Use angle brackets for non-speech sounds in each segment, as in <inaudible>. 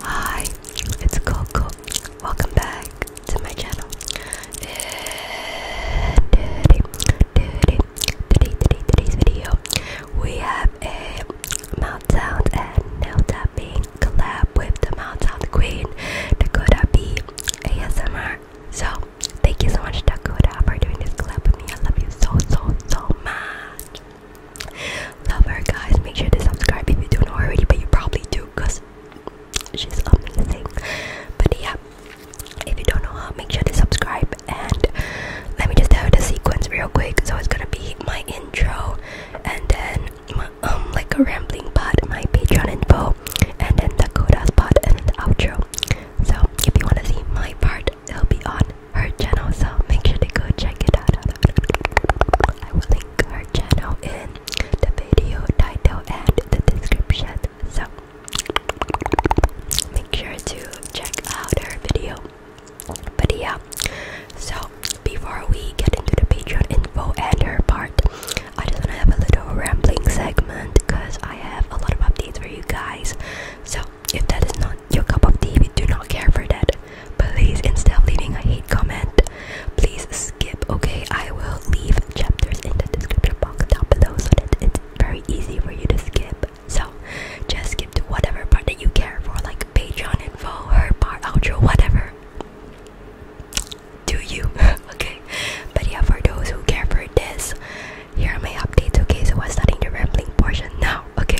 Hi, it's Coco. Welcome back to my channel. In today's video, we have a Mount Sound and Nail Tapping collab with the Mount Sound Queen, Dakota B, ASMR, so, thank you so much, Dakota, for doing this clip with me. I love you so, so, so much. Love her, guys. Make sure to subscribe if you don't already, but you probably do because she's amazing. But yeah, if you don't know her, make sure to subscribe. And let me just tell you the sequence real quick. So, it's gonna be my intro and then my, um, like a rambling part, my Patreon info, and then the codas part and the outro. So if you wanna see my part, it'll be on her channel, so make sure to go check it out. I will link her channel in the video title and the description. So make sure to check out her video. But yeah, so before we get into the Patreon info and her part, I just want to have a little rambling segment because I have a lot of updates for you guys. So, if that is not your cup of tea, we do not care for that. Please, instead of leaving a hate comment, please skip, okay? I will leave chapters in the description box down below so that it's very easy for you to skip. So, just skip to whatever part that you care for, like Patreon info, her part, outro, whatever do you <laughs> okay but yeah for those who care for this here are my updates okay so i'm starting the rambling portion now okay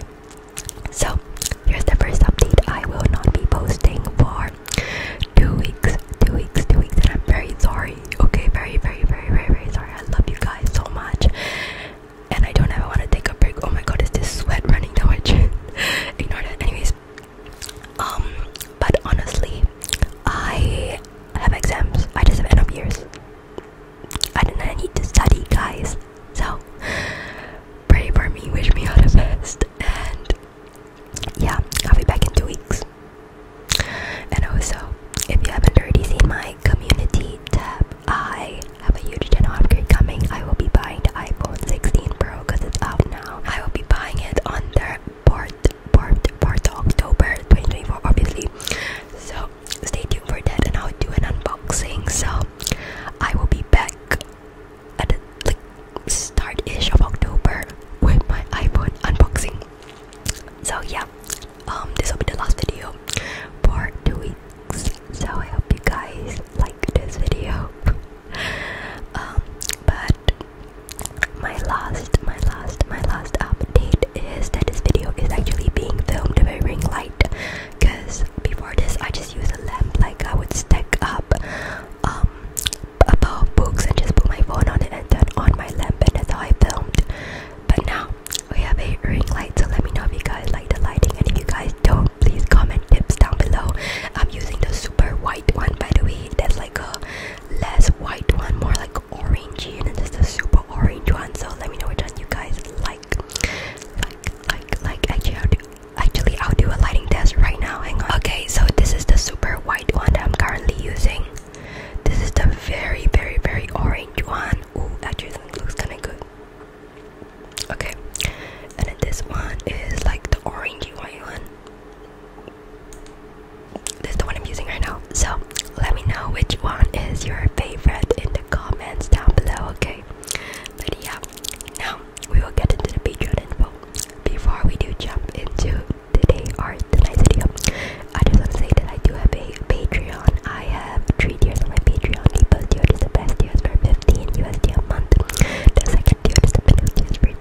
so here's the first update i will not be posting for two weeks two weeks two weeks and i'm very sorry okay very very very very very sorry i love you guys so much and i don't ever want to take a break oh my god is this sweat running down my chin <laughs> ignore that anyways um, but honestly, I have exams. I just have end of years. I do not need to study, guys. So pray for me, wish me all the best, and yeah, I'll be back in two weeks. And also, if you haven't already seen my community tab, I have a huge channel upgrade coming. I will be buying the iPhone 16 Pro because it's out now. I will be buying it on their Part, part, part of October 2024, obviously. So stay tuned for that, and I'll do an unboxing. So I will be back at the like, start ish of October with my iPhone unboxing. So yeah, um, this will be the last video for two weeks. So I hope you guys like this video. Um, but my last, my last, my last update is that this video is actually being filmed by ring light. Cause before this, I just used a lamp. Like I would stack up um a books and just put my phone on it and turn on my lamp, and that's how I filmed. But now we have a ring light, so let me know if you guys like the lighting, and if you guys don't, please comment tips down below. I'm using the super white one, by the way. That's like a less white one, more like orangey, and it's just a super orange one. So let me know which one you guys like. Like, like, like. Actually, I'll do, actually, I'll do a lighting test right now. Hang on. Okay, so this is the super white one I'm currently using. This is the very, very, very orange one. Ooh, actually, looks kind of good. Okay, and then this one is like the orangey white one. This is the one I'm using right now. So let me know which one is your favorite in the comments down below, okay? But yeah, now we will get into the Patreon info. Before we do jump into today or tonight's video, I just want to say that I do have a Patreon. I have three tiers on my Patreon. The first tier is the best tier for 15 USD a month. The second tier is the middle tier for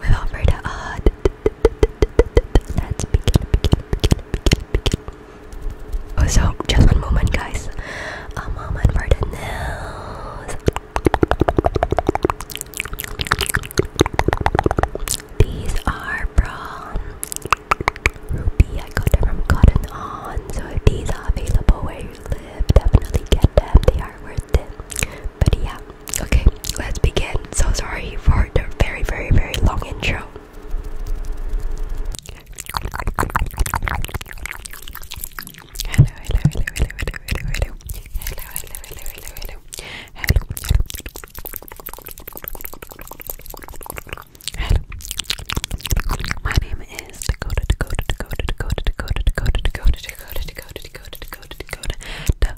We've offered let's begin, Oh, so just one moment, guys. A moment for the news. These are from Ruby. I got them from Cotton On. So if these are available where you live, definitely get them. They are worth it. But yeah, Okay, let's begin. So sorry for the very, very, very long intro. Hello, hello, hello, hello, hello, hello, hello, hello, hello, hello, hello, My name is Dakota, Dakota, Dakota, Dakota, Dakota, Dakota, Dakota, Dakota, Dakota, Dakota, Dakota, Dakota, Dakota,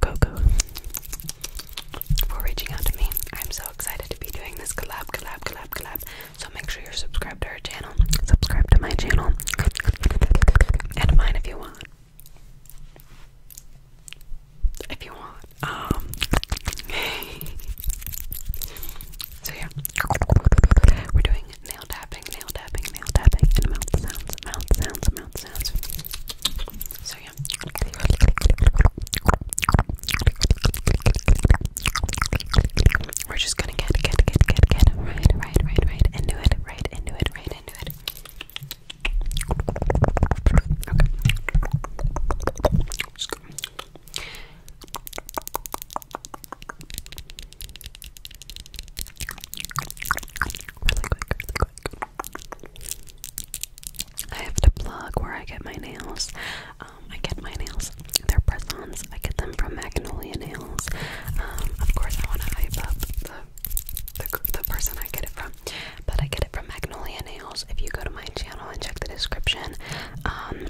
Coco for reaching out to me. I'm so excited to be doing this collab, collab, collab, collab. So make sure you're subscribed to her channel. Subscribe to my channel and mine if you want. If you want. Um <laughs> So yeah. We're doing nail tapping nail tapping, We're just gonna get, get, get, get, get, right, right, right, right, into it, right, into it, right, into it. I have to plug where I get my nails. Um, I get my nails. They're press-ons. I get them from Magnolia Nails. Um, of course, I want to hype up the, the person I get it from, but I get it from Magnolia Nails. If you go to my channel and check the description, um,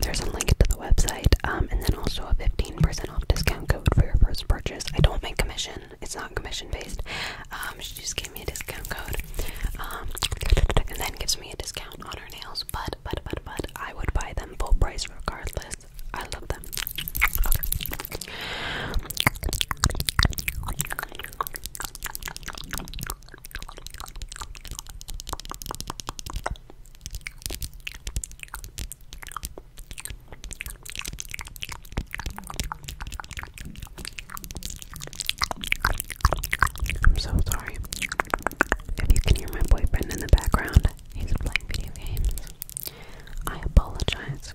there's a link to the website, and then also a 15% off discount code for your first purchase. I don't make commission. It's not commission based. Um, she just gave me a discount code. Um, and then gives me a discount on her nails. But but but but I would buy them full price regardless. I love them. I'm so sorry. If you can hear my boyfriend in the background, he's playing video games. I apologize.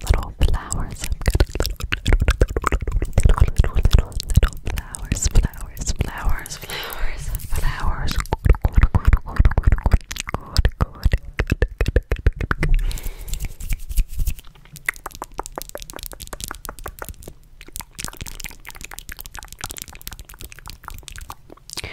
little flowers. I've got little, little, little, little, little flowers, flowers, flowers, flowers, flowers. Good, good, good, good, good. Good,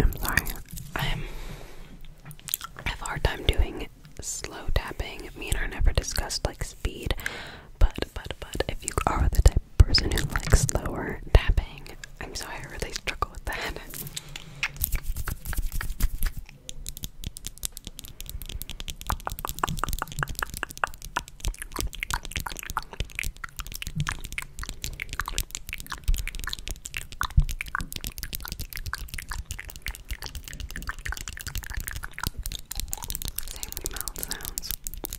I'm sorry. i have a hard time doing slow tapping. Me and her never discussed like speed. But, but, but, if you are the type of person who likes slower tapping, I'm sorry, I really struggle with that. Same mouth sounds.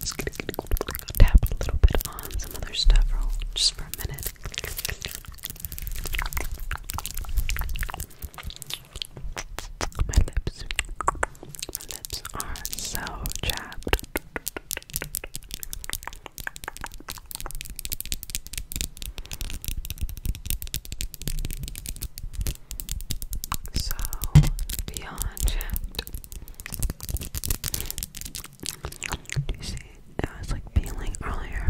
Just going a little bit on some other stuff for just for a minute. My lips, my lips are so chapped. So beyond Do you see? It was like peeling earlier.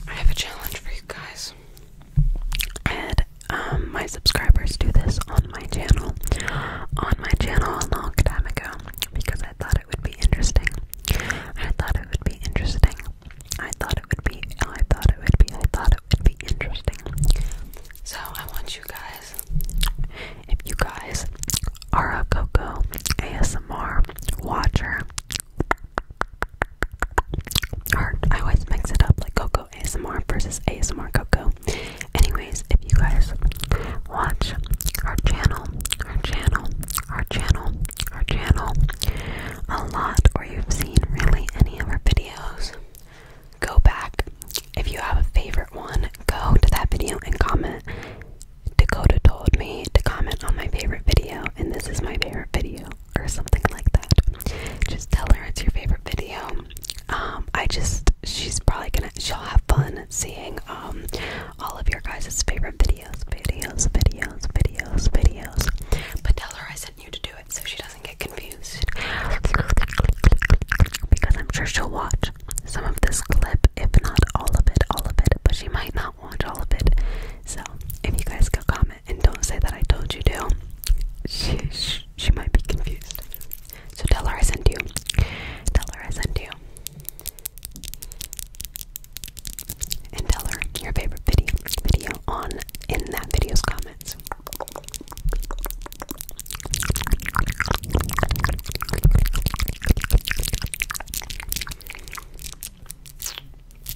I have a challenge for you guys. And um, my subscribers do this on my channel, on my channel a long time ago because I thought it would be interesting. I thought it would be interesting. I thought it would be. I thought it would be. I thought it would be interesting. So I want you guys, if you guys are a Coco ASMR watcher, or I always mix it up like Coco ASMR versus ASMR Coco. Anyways, if you guys watch our channel, our channel, our channel, our channel a lot, or you've seen really any of our videos, go back. If you have a favorite one, go to that video and comment. Dakota told me to comment on my favorite video, and this is my favorite video or something like that. Just tell her it's your favorite video. Um, I just she's probably gonna she'll have fun seeing um, all of your guys' favorite videos, videos, videos, videos, videos. But tell her I sent you to do it so she doesn't get confused. Because I'm sure she'll watch some of this clip, if not all of it, all of it, but she might not watch all of it. So if you guys go comment and don't say that I told you to. She, she, she might be confused. So tell her I sent you. Tell her I sent you. And tell her your favorite video video on in that video's comments.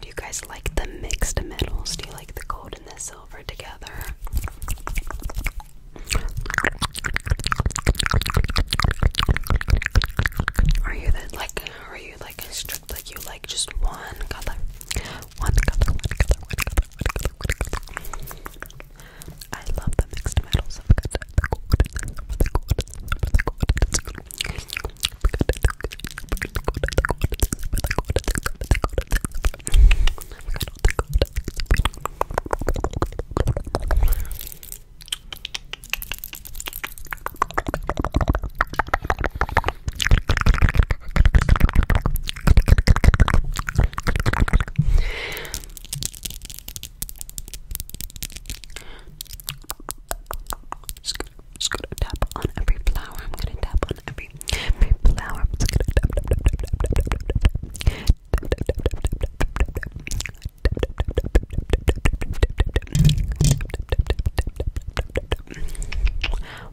Do you guys like the mixed metals? Do you like the gold and the silver together? Are you the, like are you like strict like you like just one color, one color. I love the mixed metals of the gold, just gonna, just gonna tap on every flower. I'm gonna tap on every, every flower. I'm just gonna tap, tap, tap, tap, tap, tap, tap, tap, tap, tap, tap, tap, tap, tap, tap, tap, tap,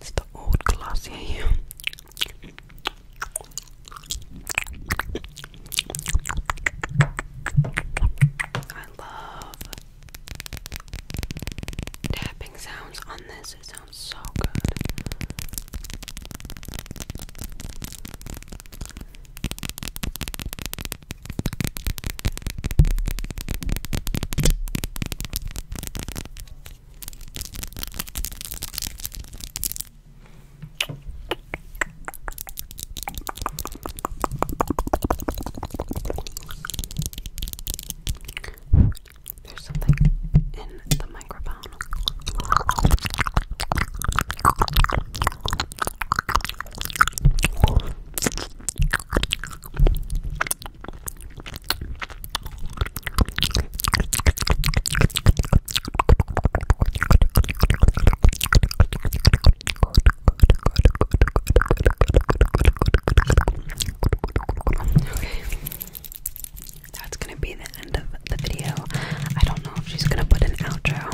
It's the old Glossier here. I love tapping sounds on this, it sounds so good. There's something in the microphone. That's gonna be the end of the video. I don't know if she's gonna put an outro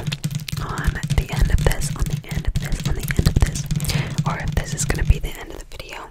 on the end of this, on the end of this, on the end of this, or if this is gonna be the end of the video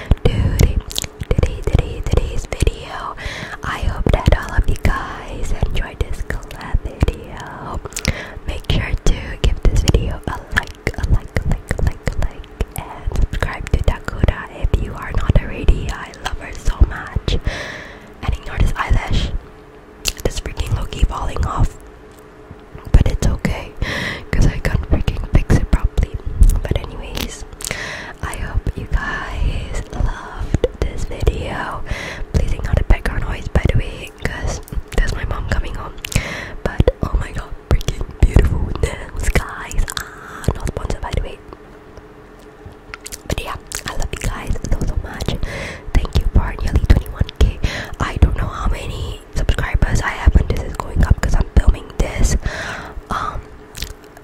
today, today, today, today's video. I hope that all of you guys enjoyed this collab video. Make sure to give this video a like, a like, a like, a like, a like, and subscribe to Dakota if you are not already. I love her so much. And ignore this eyelash. This freaking Loki falling off but it's okay because I can't freaking fix it properly. But, anyways, I hope you guys loved this video. Please ignore the background noise by the way because there's my mom coming home. But, oh my god, freaking beautiful nails, guys. Ah, not sponsored by the way. But yeah, I love you guys so so much. Thank you for nearly 21k. I don't know how many subscribers I have when this is going up because I'm filming this um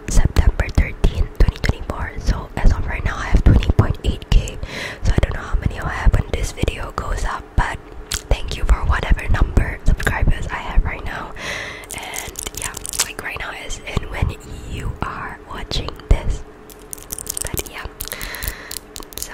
September 13, 2024. So as of right now I have 20.8k. So I don't know how many I have when this video goes up, but thank you for whatever number subscribers I have right now. And yeah, like right now is and when you are watching this. But yeah. So